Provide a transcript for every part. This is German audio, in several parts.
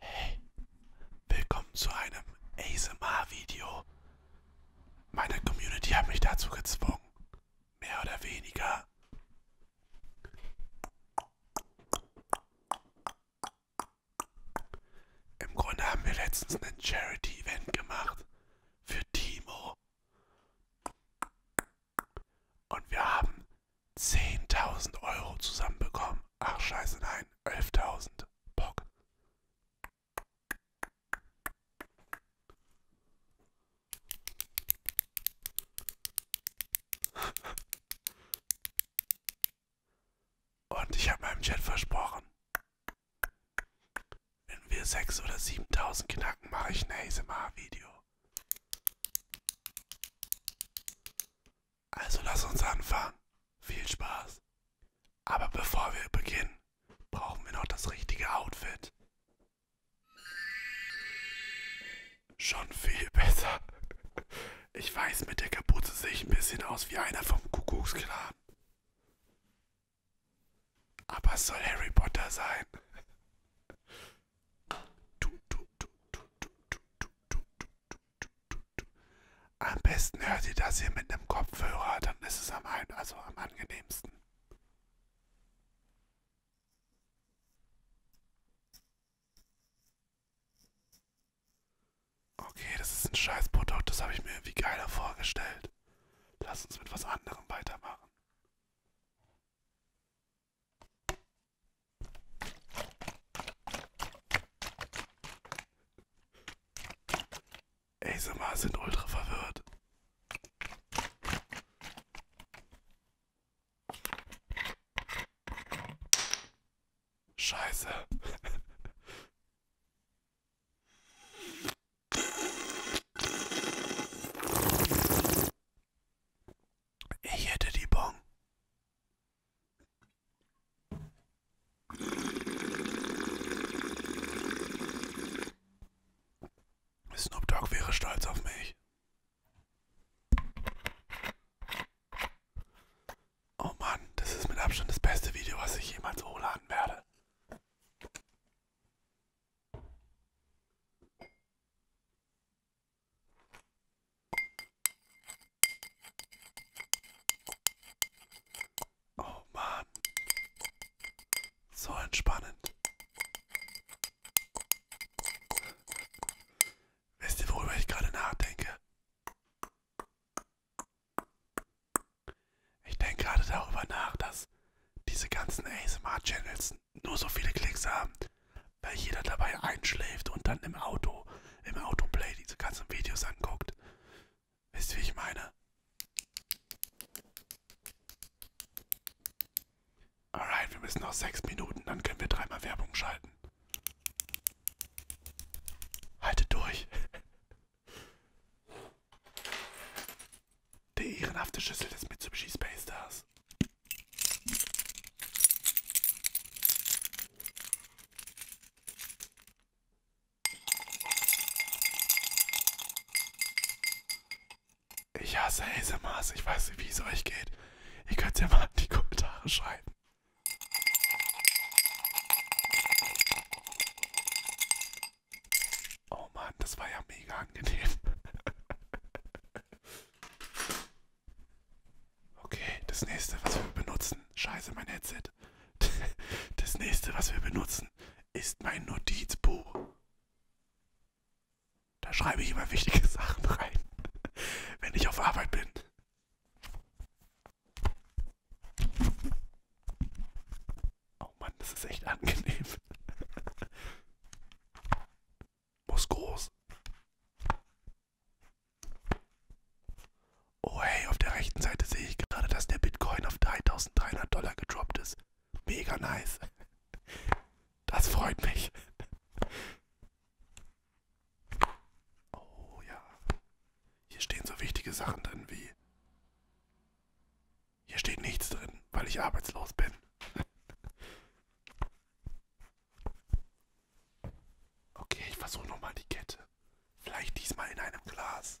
Hey, willkommen zu einem ASMR-Video. Meine Community hat mich dazu gezwungen. Mehr oder weniger. Im Grunde haben wir letztens ein Charity-Event gemacht für Timo. Und wir haben 10.000 Euro zusammenbekommen. Ach scheiße, nein, 11.000. Bock. Und ich habe meinem Chat versprochen, wenn wir 6.000 oder 7.000 knacken, mache ich ein ASMR-Video. Also lass uns anfangen. Viel Spaß. Aber bevor wir beginnen, brauchen wir noch das richtige Outfit. Schon viel besser. Ich weiß, mit der Kapuze sehe ich ein bisschen aus wie einer vom Kuckucksklan. Aber es soll Harry Potter sein. Am besten hört ihr das hier mit einem Kopfhörer, dann ist es am, ein, also am angenehmsten. Okay, das ist ein Scheißprodukt, das habe ich mir irgendwie geiler vorgestellt. Lass uns mit was anderem weitermachen. ASMR sind ultra verwirrt. Scheiße. Ich hätte die Bon. Snoop Dogg wäre stolz auf mich. Oh Mann, das ist mit Abstand das beste Video, was ich jemals hochladen werde. Oh Mann. So entspannend. Wisst ihr, worüber ich gerade nachdenke? Ich denke gerade darüber nach, dass diese ganzen ASMR-Channels nur so viele Klicks haben, weil jeder dabei einschläft und dann im Auto, im Autoplay diese ganzen Videos anguckt. Wisst ihr, wie ich meine? Alright, wir müssen noch sechs Minuten, dann können wir dreimal Werbung schalten. Haltet durch. Der ehrenhafte Schüssel des Mitsubishi Space Stars. Ich hasse ASMRs. Ich weiß nicht, wie es euch geht. Ihr könnt ja mal in die Kommentare schreiben. Oh Mann, das war ja mega angenehm. Okay, das nächste, was wir benutzen. Scheiße, mein Headset. Das nächste, was wir benutzen, ist mein Notizbuch. Da schreibe ich immer wichtige Sachen rein, wenn ich auf Arbeit bin. Oh Mann, das ist echt angenehm. Muss groß. Oh hey, auf der rechten Seite sehe ich gerade, dass der Bitcoin auf 3300 Dollar gedroppt ist. Mega nice. Das freut mich. Oh ja. Hier stehen so wichtige Sachen drin wie. Hier steht nichts drin, weil ich arbeitslos bin. okay, ich versuche nochmal die Kette. Vielleicht diesmal in einem Glas.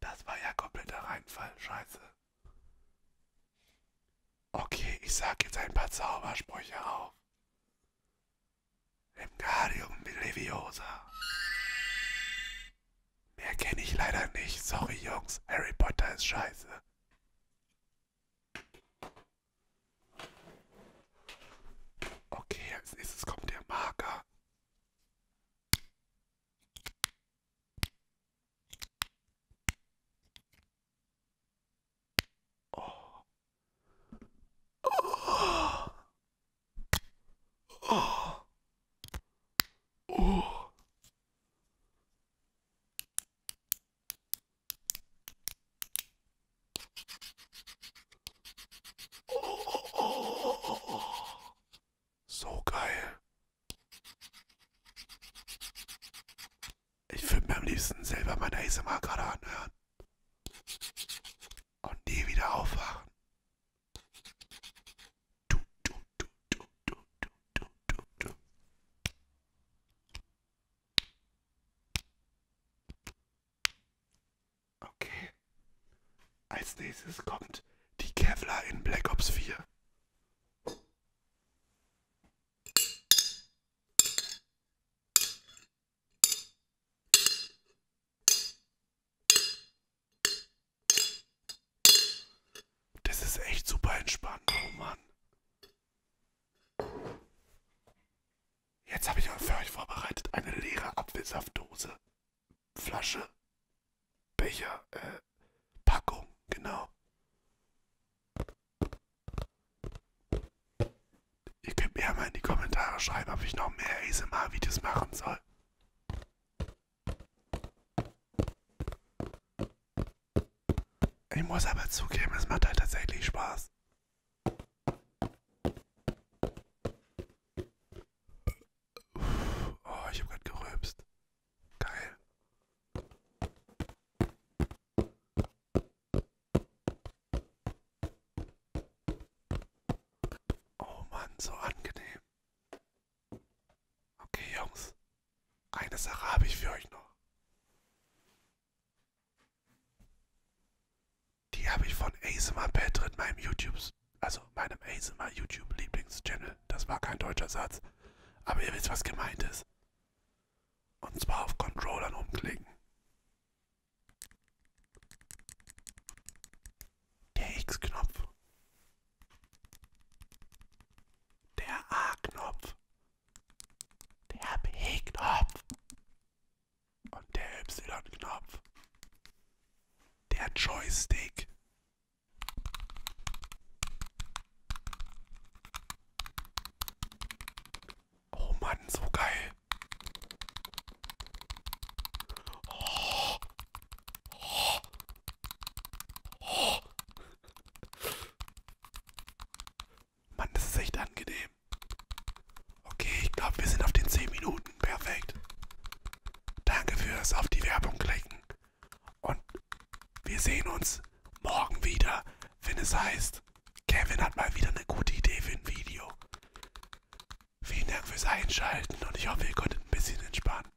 Das war ja kompletter Reinfall, scheiße. Okay, ich sag jetzt ein paar Zaubersprüche auf. Emgarium Leviosa. Mehr kenne ich leider nicht. Sorry, Jungs. Harry Potter ist scheiße. Okay, als nächstes kommt der Marker. Oh. Oh. Oh. Oh. Oh, oh, oh, oh, oh. So geil. Ich würde mir am liebsten selber meine ASMR gerade anhören. Und nie wieder aufwachen. Du, du, du, du, du, du, du, du. Okay. Als nächstes kommt die Kevlar in Black Ops 4. Das ist echt super entspannt. Oh Mann. Jetzt habe ich für euch vorbereitet eine leere Apfelsaftdose, Flasche, Becher, äh, Packung, genau. Ihr könnt mir ja mal in die Kommentare schreiben, ob ich noch mehr ASMR-Videos machen soll. Ich muss aber zugeben, es macht halt tatsächlich Spaß. Oh, ich habe gerade gerülpst. Geil. Oh Mann, so angenehm. Okay, Jungs, eine Sache habe ich für euch noch. Die habe ich von ASMR Patrick, meinem YouTube, also meinem ASMR YouTube Lieblingschannel. Das war kein deutscher Satz, aber ihr wisst, was gemeint ist. Und zwar auf Controllern umklicken. Der X-Knopf. Der A-Knopf. Der B-Knopf und der Y-Knopf. Der Joystick. Oh Mann, so geil. Oh. Oh. Oh. Mann, das ist echt angenehm. Okay, ich glaube, wir sind auf den 10 Minuten. Perfekt. Danke fürs auf die Werbung klicken. Und wir sehen uns morgen wieder, wenn es heißt, Kevin hat mal wieder eine gute Idee für ein Video. Vielen Dank fürs Einschalten und ich hoffe, ihr konntet ein bisschen entspannen.